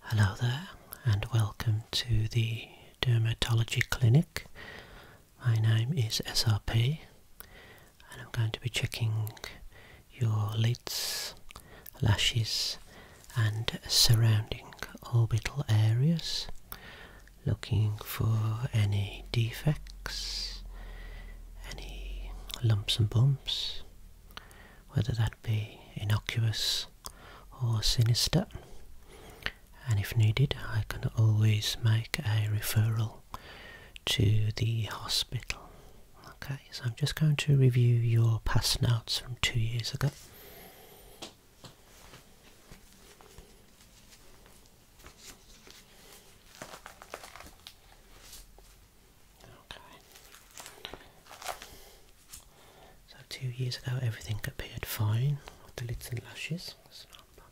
Hello there, and welcome to the Dermatology Clinic. My name is SRP, and I'm going to be checking your lids, lashes, and surrounding orbital areas, looking for any defects, any lumps and bumps, whether that be innocuous or sinister. And if needed, I can always make a referral to the hospital. Okay, so I'm just going to review your past notes from two years ago. So two years ago everything appeared fine with the lids and lashes. So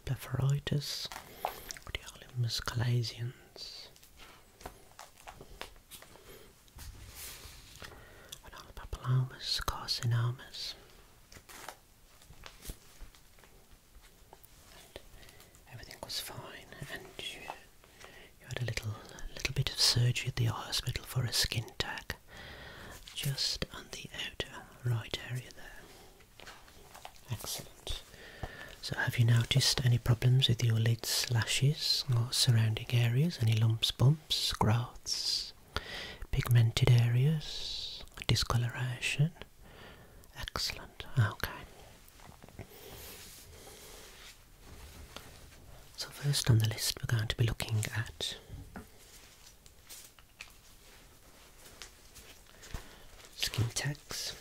blepharitis, radiolimus calasians. Papillomas, carcinomas. everything was fine, and you had a little, little bit of surgery at the hospital for a skin tag, just on the outer right area there. Excellent. So, have you noticed any problems with your lids, lashes, or surrounding areas? Any lumps, bumps, growths, pigmented areas, discoloration? Excellent. Okay. So first on the list we're going to be looking at skin tags.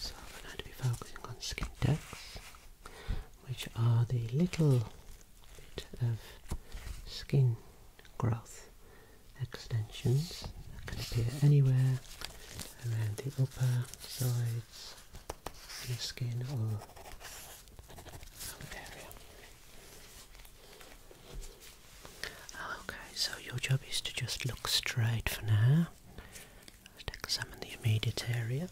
So we're going to be focusing on skin tags which are the little bit of skin growth extensions that can appear anywhere around the upper sides of the skin or area. Okay, so your job is to just look straight for now. Let's examine the immediate area.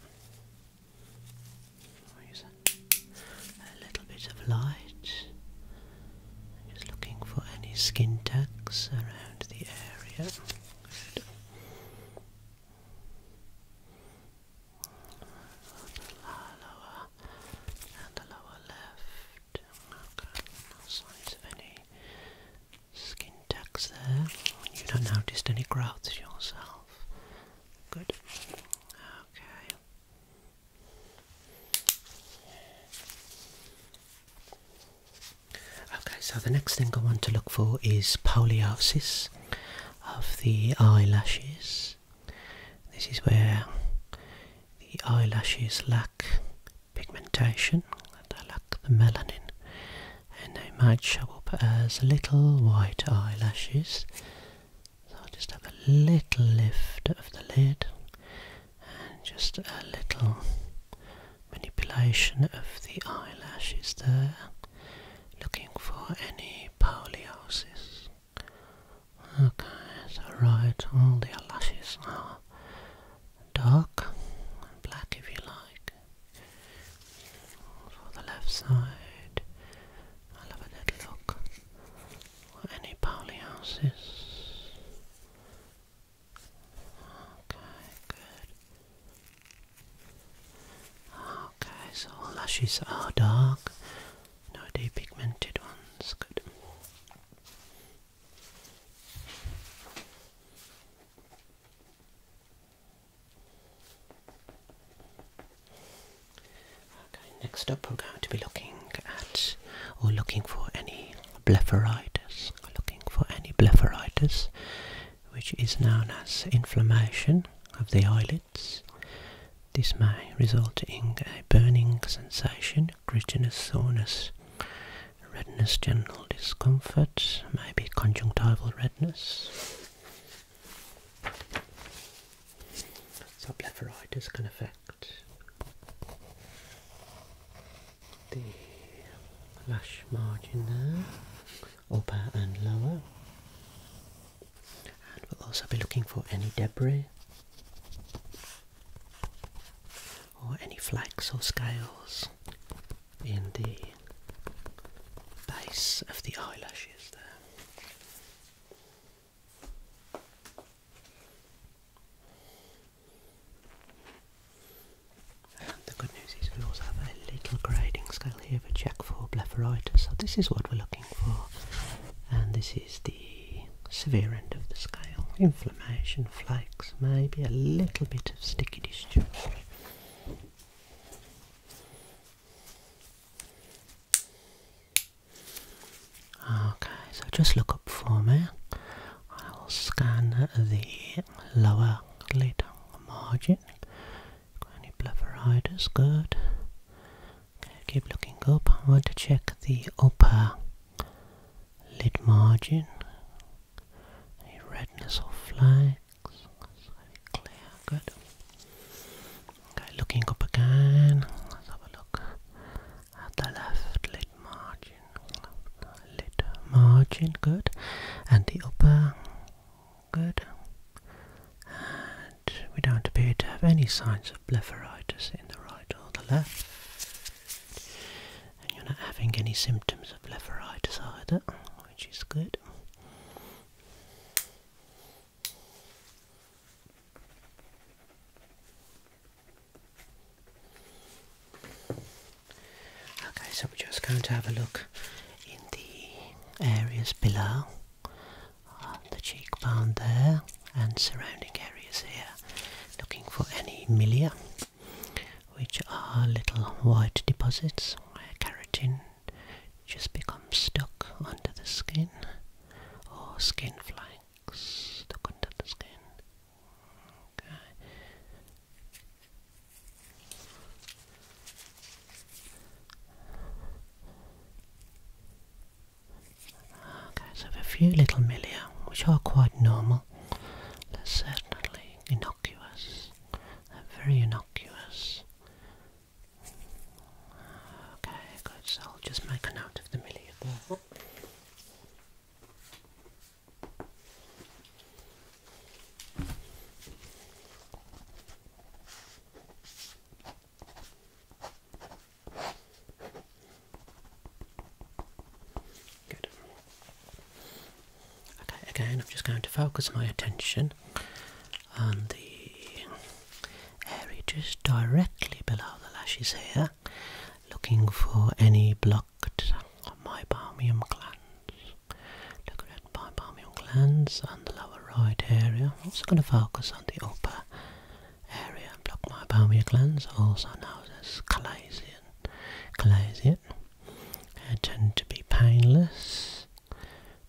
a little bit of light. Just looking for any skin tags around the area. Good. Lower and the lower left. no signs of any skin tags there. You don't notice any growths yourself. Good. Okay. Okay, so the next thing I want to look for is poliosis of the eyelashes. This is where the eyelashes lack pigmentation, they lack the melanin and they might show up as little white eyelashes so I'll just have a little lift of the lid and just a little manipulation of the eyelashes there looking for any poliosis okay so all the eyelashes are dark and black if you like for the left side. I'll a little look any Pauli Okay, good. Okay, so lashes are dark. No depigmented ones. Good next up we're going to be looking at or looking for any blepharitis, looking for any blepharitis, which is known as inflammation of the eyelids. This may result in a burning sensation, grittiness, soreness, redness, general discomfort, maybe conjunctival redness. So can affect the lash margin upper and lower. And we'll also be looking for any debris or any flakes or scales in the base of the eyelashes there. the good news is we also have a little grading scale here for check for blepharitis. So this is what we're looking for. And this is the severe end of the scale. Inflammation flakes, maybe a little bit of sticky discharge. Okay, so just look up for me. I will scan the lower lid margin. Any blepharitis? Good. keep looking up. I want to check the upper lid margin. Any redness or flags? clear, good. Okay, looking up again, let's have a look at the left lid margin. Left lid margin, good. And the upper, good. And we don't appear to have any signs of blepharitis in the right or the left and you're not having any symptoms of blepharitis either, which is good. Okay, so we're just going to have a look in the areas below the cheekbone there and surrounding areas here, looking for any milia which are little white deposits where keratin just becomes stuck under the skin or skin flanks stuck under the skin. Okay, so a few little milia, which are quite normal. They're certainly innocuous. They're very innocuous. Okay, good. So I'll just make a note of the milia there. Good. Okay, again, I'm just going to focus my attention on the area just directly below the lashes here, looking for any blocked meibomium glands. Look at meibomium glands on the lower right area. I'm also going to focus on the upper area block my palmar glands, also known as chalazion. Chalazion uh, tend to be painless,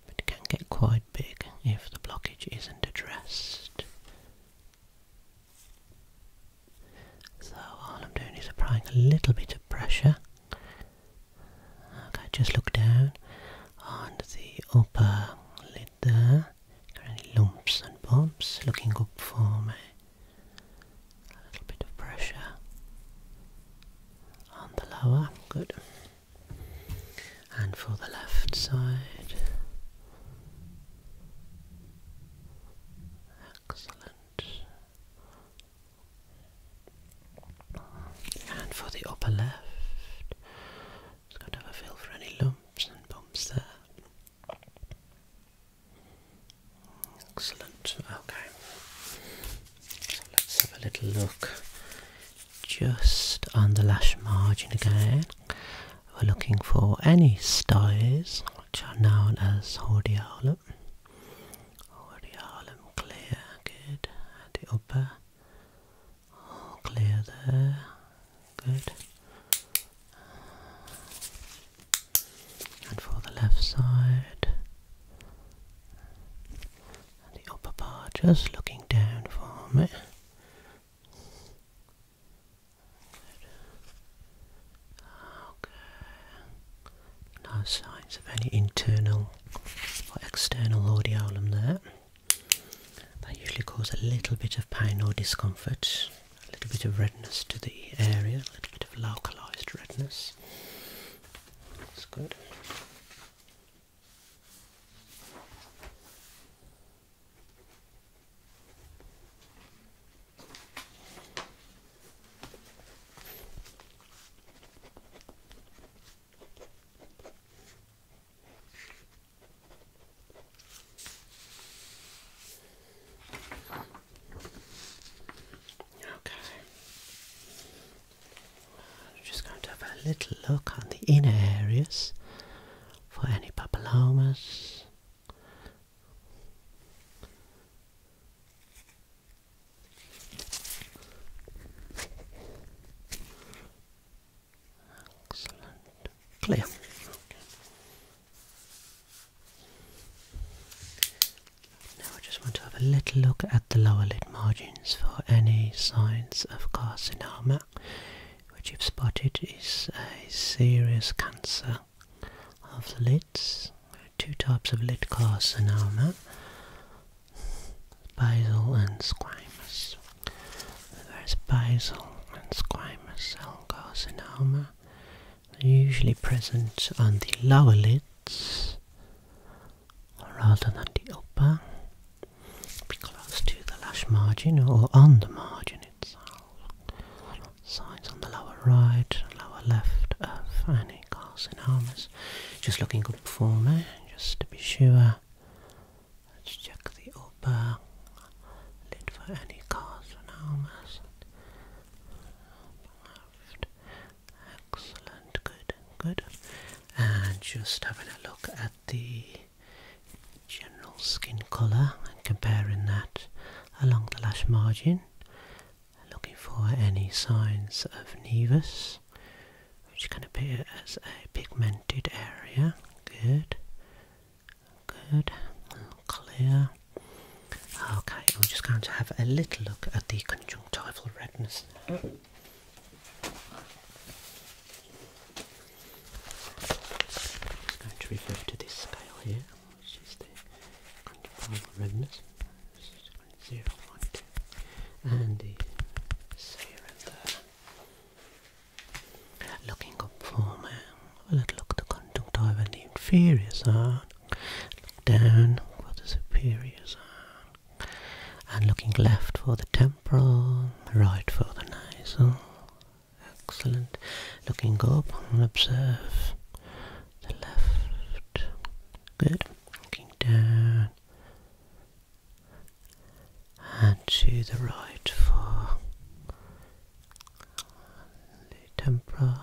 but can get quite big if the blockage isn't addressed. So all I'm doing is applying a little bit of pressure. Okay, just look down on the upper lid there. Got any lumps and bumps? Looking up for me. A little bit of pressure on the lower. Good. And for the left side. Excellent. And for the upper left, just got to feel for any lumps and bumps there. Excellent, okay. So let's have a little look just on the lash margin again. We're looking for any styes which are known as hordeolum. Hordeolum clear, good. And the upper all clear there. Good. And for the left side. the upper part just looking down for me. Okay. No signs of any internal or external audiolum there. That usually causes a little bit of pain or discomfort, a little bit of redness to the area, a little bit of localized redness. That's good. Okay. I'm just going to have a little look on the inner areas for any papillomas. Excellent. Clear. Now I just want to have a little look at the lower lid margins for any signs of carcinoma, which if spotted is a serious cancer of the lids. Two types of lid carcinoma basal and squamous. There's basal and squamous cell carcinoma, usually present on the lower lids rather than the upper, be close to the lash margin or on the margin itself. Signs on the lower right, lower left of any carcinomas. Just looking good for me, just to be sure Let's check the upper lid for any carcinomas. Left. Excellent, good, good. And just having a look at the general skin colour and comparing that along the lash margin. Looking for any signs of nevus this. I'm just going to put it as a pigmented area. Good. Good. clear. Okay, We're just going to have a little look at the conjunctival redness now. Just going to refer to this scale here, which is the conjunctival redness. This is Zero, one, two, and the serum there. Looking up for me. Will look at the conjunctiva and the inferiors are. Look down for the superiors are. And looking left for the temporal, right for the nasal. Excellent. Looking up and observe the left. Good. Looking down and to the right for the temporal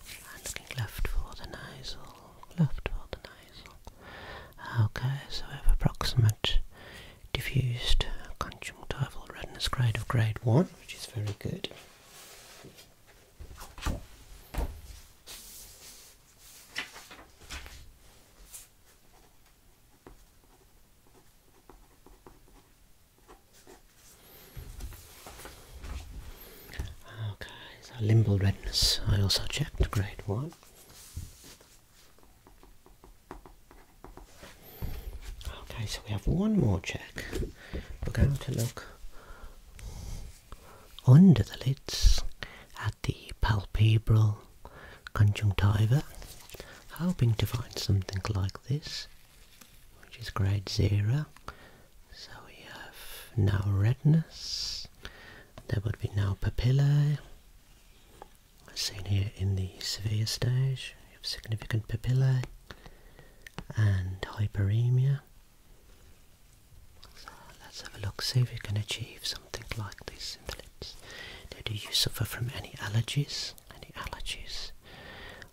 and looking left for the nasal, left for the nasal. Okay, so we have approximate diffused conjunctival redness grade of grade 1, which is very good. Okay, so limbal redness, I also checked grade one. Okay, so we have one more check. We're going to look under the lids at the palpebral conjunctiva, hoping to find something like this, which is grade zero. So we have now redness, there would be now papilla. as seen here in the severe stage, you have significant papilla and hyperemia. So let's have a look, see if we can achieve something like this in the lips. do you suffer from any allergies? Any allergies?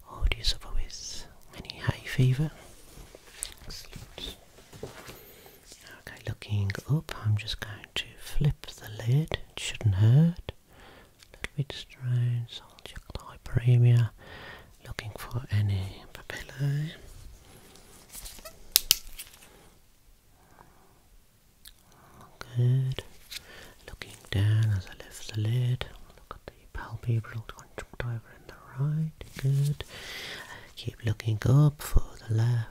Or do you suffer with any hay fever? Okay, looking up, I'm just going to flip the lid. It shouldn't hurt. A little bit strange, so I'll check the hyperemia looking for any papilla. Eh? Good. Looking down as I lift the lid, look at the palpebral conjunctiva in the right. Good. Keep looking up for the left.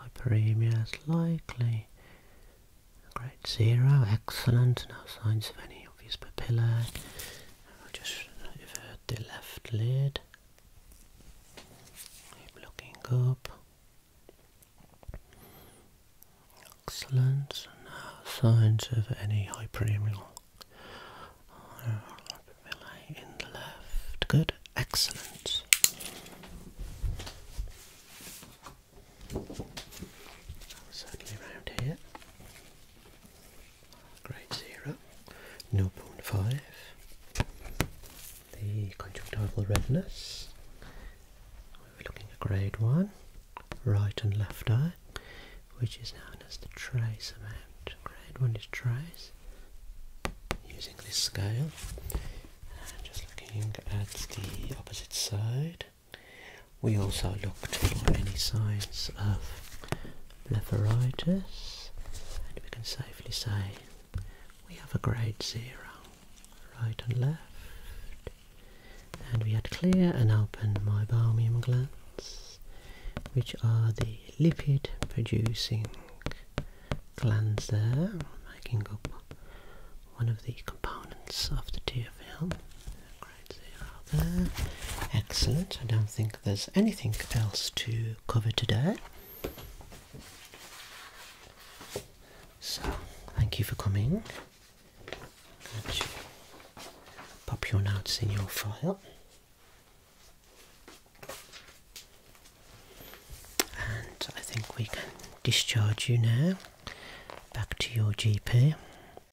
Hyperemia is likely. Great zero. Excellent. No signs of any obvious papillae. I'll just invert the left lid. looking up. Excellent. no signs of any hyperemia in the left. Good. Excellent. Certainly round here grade 0, 0.5, the conjunctival redness, we're looking at grade 1, right and left eye, which is known as the trace amount. Grade 1 is trace, using this scale, and just looking at the opposite side, we also looked for any signs of blepharitis, and we can safely say we have a grade zero, right and left. And we had clear and open meibomium glands, which are the lipid producing glands there, making up one of the components of the tear film. Great, there. Excellent. I don't think there's anything else to cover today. So, thank you for coming. pop your notes in your file. And I think we can discharge you now back to your GP